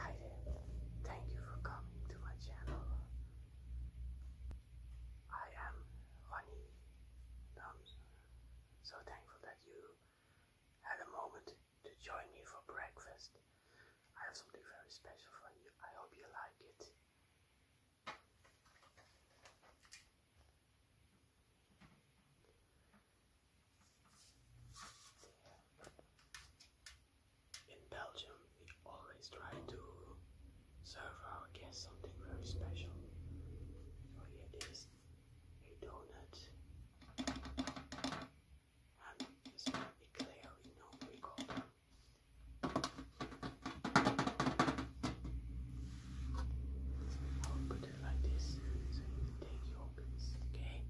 Hi there, thank you for coming to my channel. I am Ronnie. I'm so thankful that you had a moment to join me for breakfast. I have something very special for you. I hope you like it. In Belgium, we always try to serve our guests something very special. So here a donut and this eclair, we know we call like this take your piece, okay?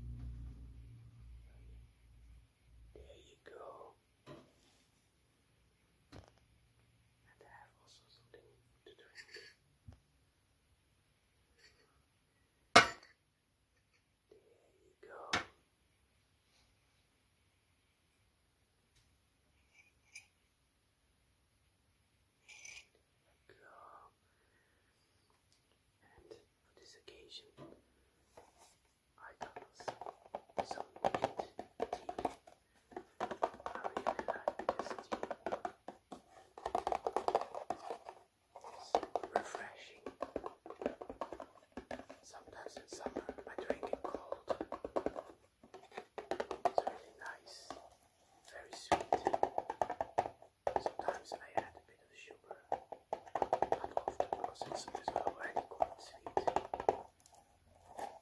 There you go. And have also something to drink. There you go. And for this occasion, I got some refreshing. Sometimes in summer I drink it cold. It's nice very sweet. Sometimes I add a bit of sugar, often because it's already quite sweet. Now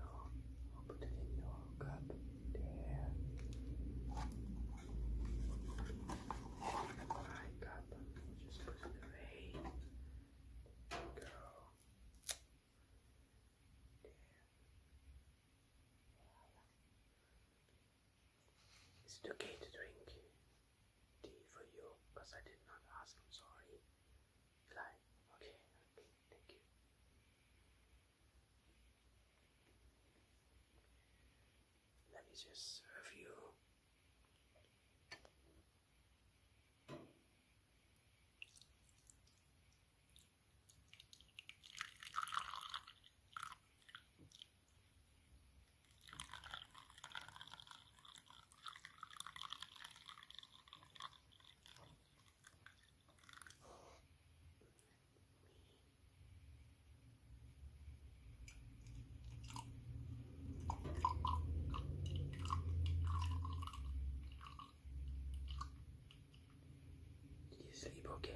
I'll put it in your Look up there. Alright, got just put it away. There we go. it okay to drink tea for you? Because I did not ask, I'm sorry. Will Okay, okay, thank you. Let me just serve you. Did you sleep okay?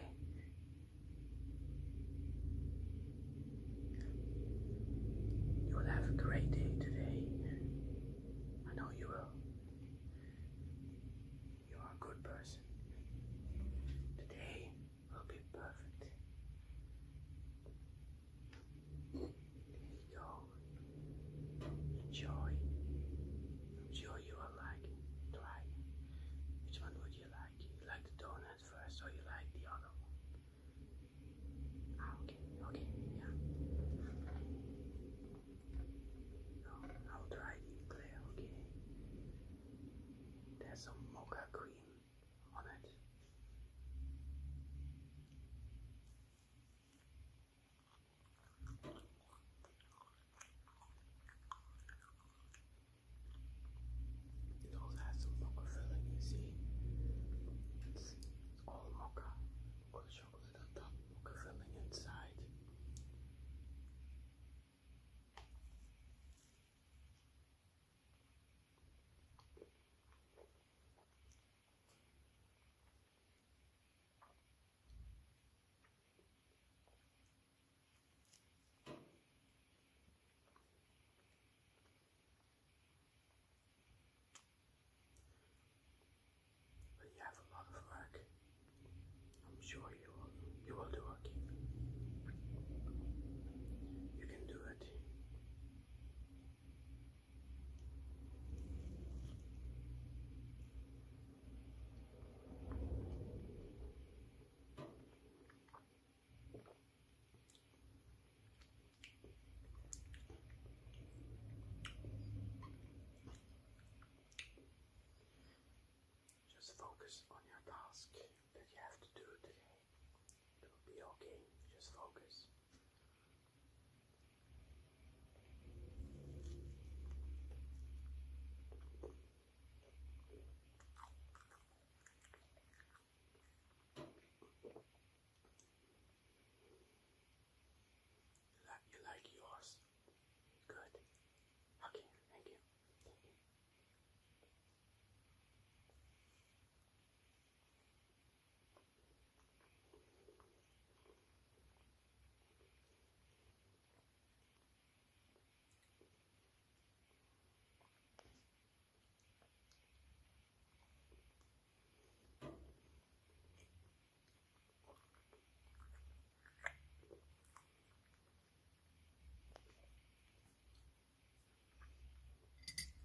You will have a great day today. I know you will. You're a good person. Today will be perfect. There you go. Enjoy. I'm like Try. Which one would you like? You like the donut first or you like the other one? Ah, okay, okay, yeah. I'll try the eclair, okay? There's some mocha cream on it. It also has some mocha filling, you see? It's all mocha, chocolate on top, curling inside. But you have a lot of work. I'm sure you will, you will do it. You can do it. Just focus on your task that you have to do today. It will be okay. Just focus. You like, you like yours? Good. Okay, thank you. Thank you.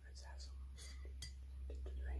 Let's have some something to drink.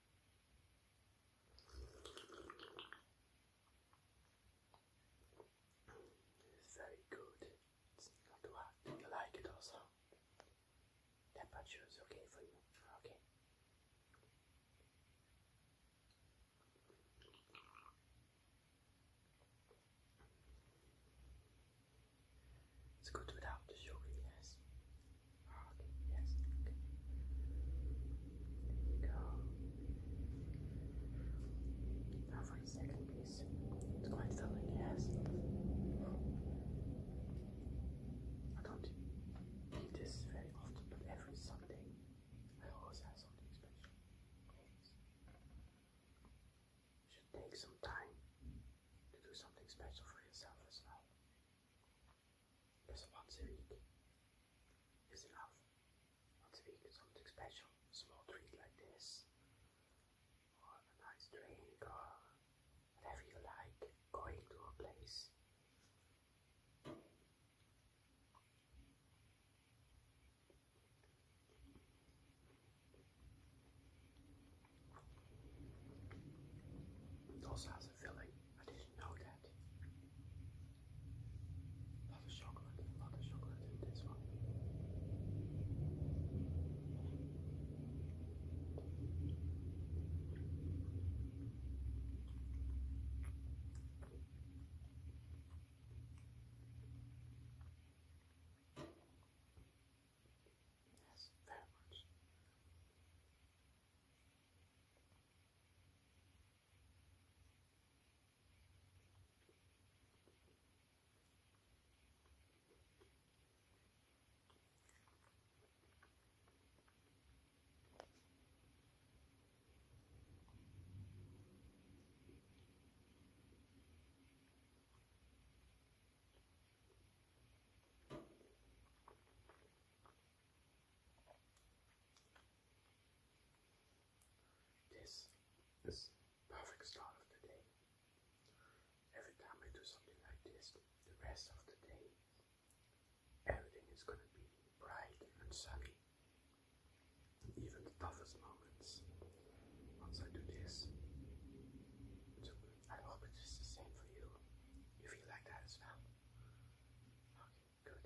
It's very good. It's not too hot. You like it also. Temperature is okay for you. Okay. It's good without the sugar, yes. Okay, yes. Okay. go. Now second piece. It's quite filling, yes. I don't eat this very often, but every Sunday I always have something special. should take some time to do something special for yourself as well. But once a week is enough. Once a week is something special. A small treat like this, or a nice drink, or whatever you like. Going to a place. It also has a filling. I didn't know that. A of chocolate, a of chocolate in this one. Yes, that much. This is perfect start of the day. Every time I do something like this, the rest of the day, everything is going to be bright and sunny. Even the toughest moments once I do this, I hope it's the same for you. You like that as well. Okay, good.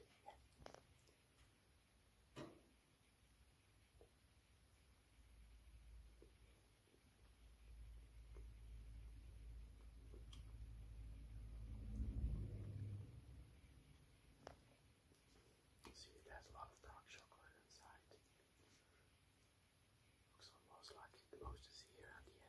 See, there's a lot of dark chocolate inside. Looks almost like the most is here at the end.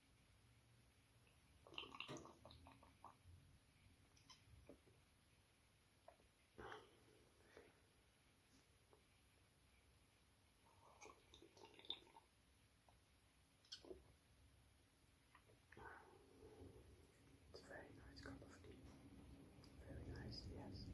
It's a very nice cup of tea. Very nice, yes.